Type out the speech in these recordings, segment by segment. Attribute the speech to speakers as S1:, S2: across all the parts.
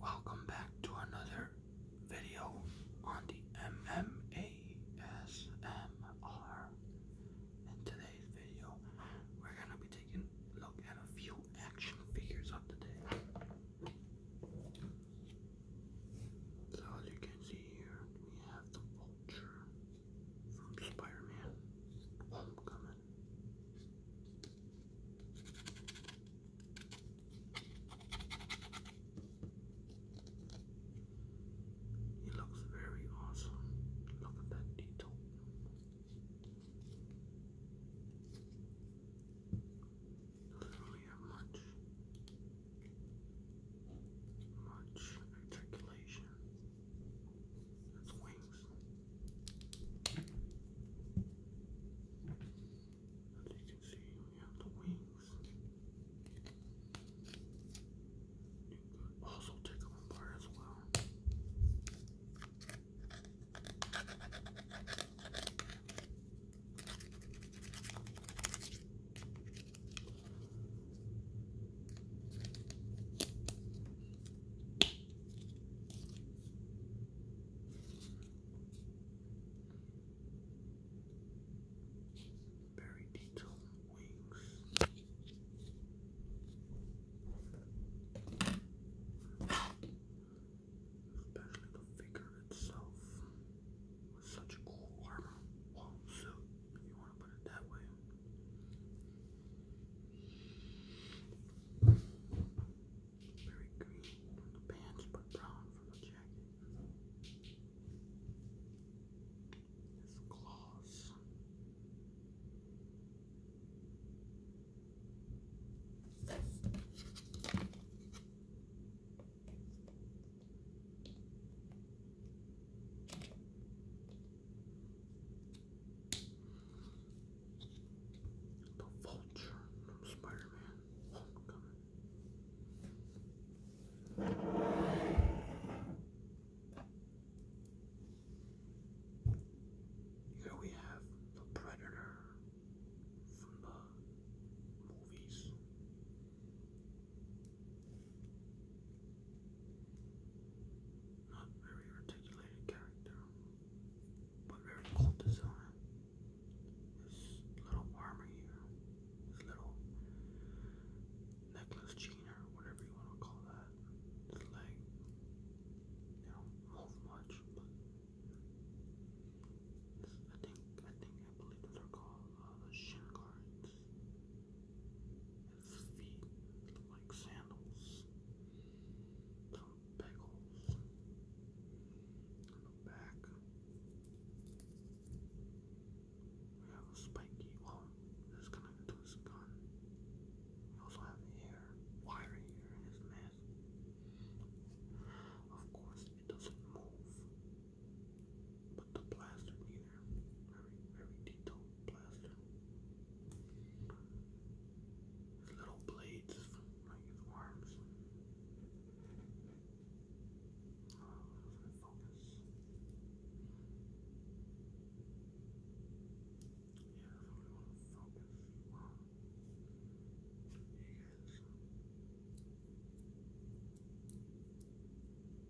S1: Welcome back to another video on the MMASMR. In today's video, we're gonna be taking a look at a few action figures of the day. So as you can see here, we have the Vulture from Spider-Man Homecoming. It looks very awesome. Look at that detail. does much, much articulation. That's wings. As you can see, we have the wings. also take them apart as well. Very detailed wings. Especially the figure itself such a cool armor wall if you want to put it that way. Very green for the pants, but brown for the jacket. His claws. The Vulture from Spider-Man Here we have the Predator from the movies. Not very articulated character, but very cool design. His little armor here, his little necklace chain or whatever you want to call that. His leg. You know, not much, but I think I think I believe those are called uh, shin guards. His feet like sandals. Some pegals the back. We have a spiky, well, this is connected to his gun. We also have hair, wire here in his mask. Of course, it doesn't move, but the blaster neither. Very, very detailed blaster. little blades like his arms. focus. Yeah, that's we want to focus. You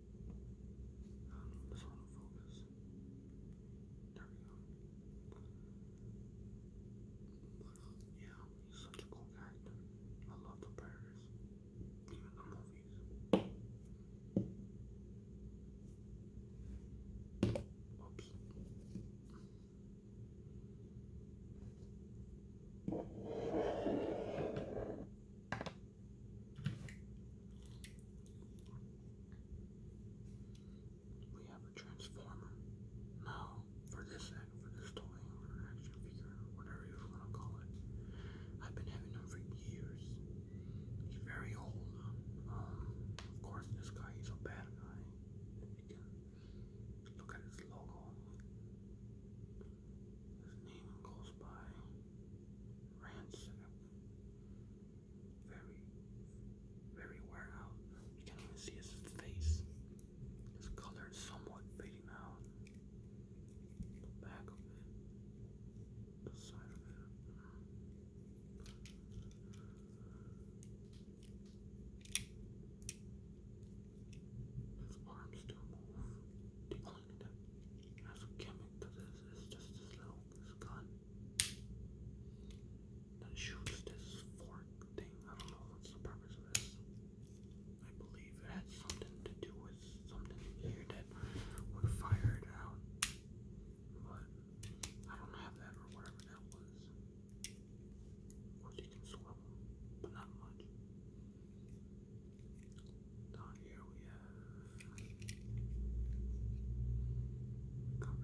S1: I don't know focus. There we go. yeah, he's such a cool character. I love the burgers, even the movies. Oops. We have a transformer. Now, for this for this toy, action figure, whatever you want to call it, I've been having him for years. very old. Um, um, of course, this guy is a bad guy. look at his logo. His name goes by Ransack. Very, very wear out. You can't even see his face. His color is somewhat fading out. The back of it. The side of it. His arms still move telling a gimmick to this. It's just this little gun that shoots this fork thing. I don't know what's the purpose of this. I believe it had something to do with something here that would fire it out. But I don't have that or whatever that was. Of course you can swallow, but not much. Down here we have Of course,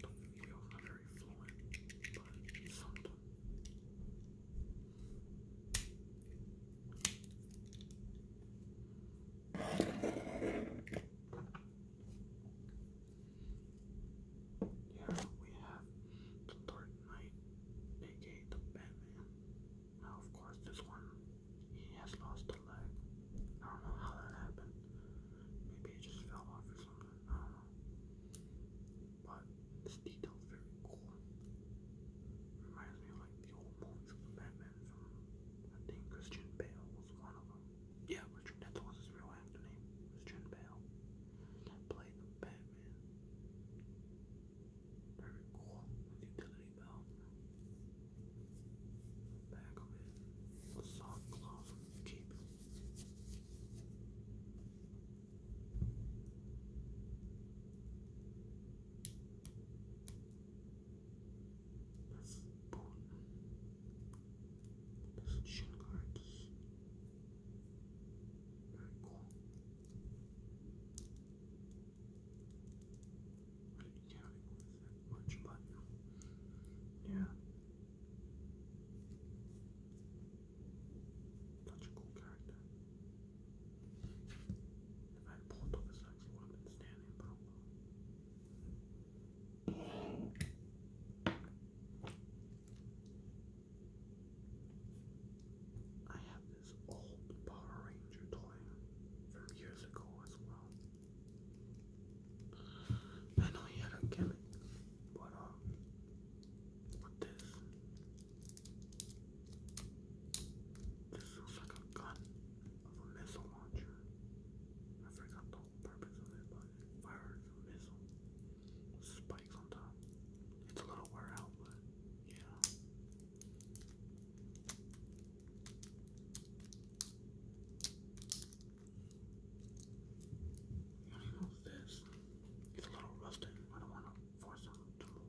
S1: the wheel's not very fluent, but it's here we have Dark Knight, aka the Batman. Now, of course, this one he has lost a leg. I don't know how that happened. Maybe it just fell off or something. I don't know. But this detail's very cool. Reminds me of like the opponents from Batman I think Christian Bale was one of them. Yeah, Richard, that was his real actor name, Christian Bale. played the Batman. Very cool, utility belt. Back of cloth cape. That's important. That's shooting cards. Very cool. I didn't care that much, but yeah. Such a cool character. If I had I've this old Power Ranger toy from years ago as well. I know he had a gimmick, but um, with this, this looks like a gun of a missile launcher. I forgot the purpose of it, but fires a missile spikes on top. It's a little wear out, but yeah. What else this? It's a little rusted. I don't want to force him to move.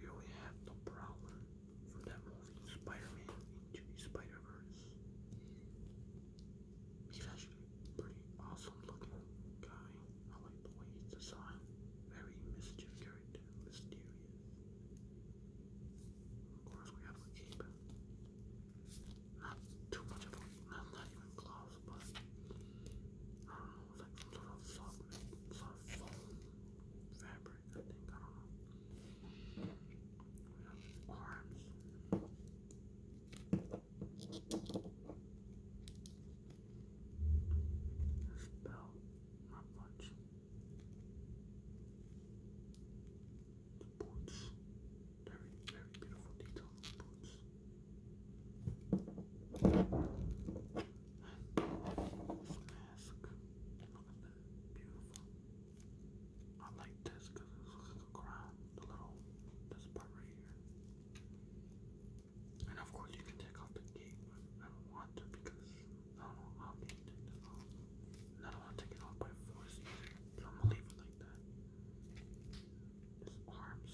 S1: Here we have the Prowler from that movie Spider-Man into the Spider-Verse. He's actually pretty awesome looking guy. I like the way he's designed. Very mischievous mysterious. Of course, we have to keep not too much of a, not, even gloss, but like some sort of soft, fabric, I think, I don't know. We have arms. This not much. The boots. Very, very beautiful detail boots. this mask. Look at that. Beautiful. I like this because it's like a crown. The little, this part right here. And of course, you can take off the cape. I don't want to because I don't know how take that off. not want to take it off by force either. So i like that. His arms,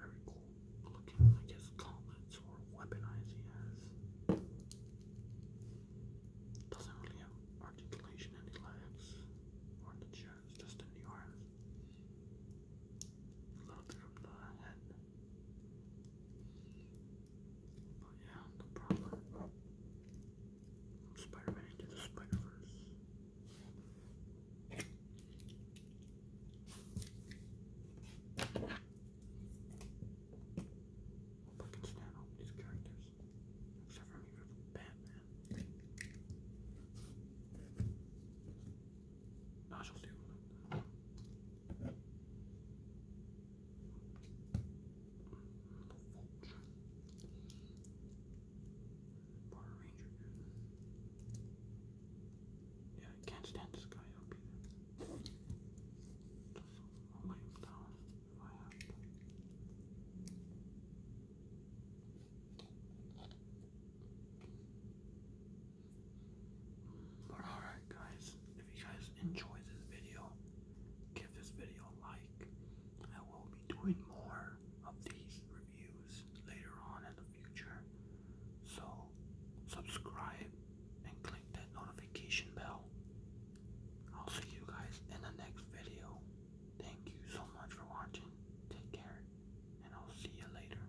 S1: very cool looking, like his gauntlets or weaponize he has. Doesn't really have articulation in the legs or the chest, just in the arms. A little bit from the head. But yeah, the proper Spider-Man into the Spider-Verse. Hope I can stand all these characters. Except for me for Batman. I yeah, I can't stand this guy up either. But alright guys, if you guys enjoyed this video, give this video a like. I will be doing more of these reviews later on in the future. So subscribe and click that notification bell. I'll see you guys in the next video. Thank you so much for watching. Take care and I'll see you later.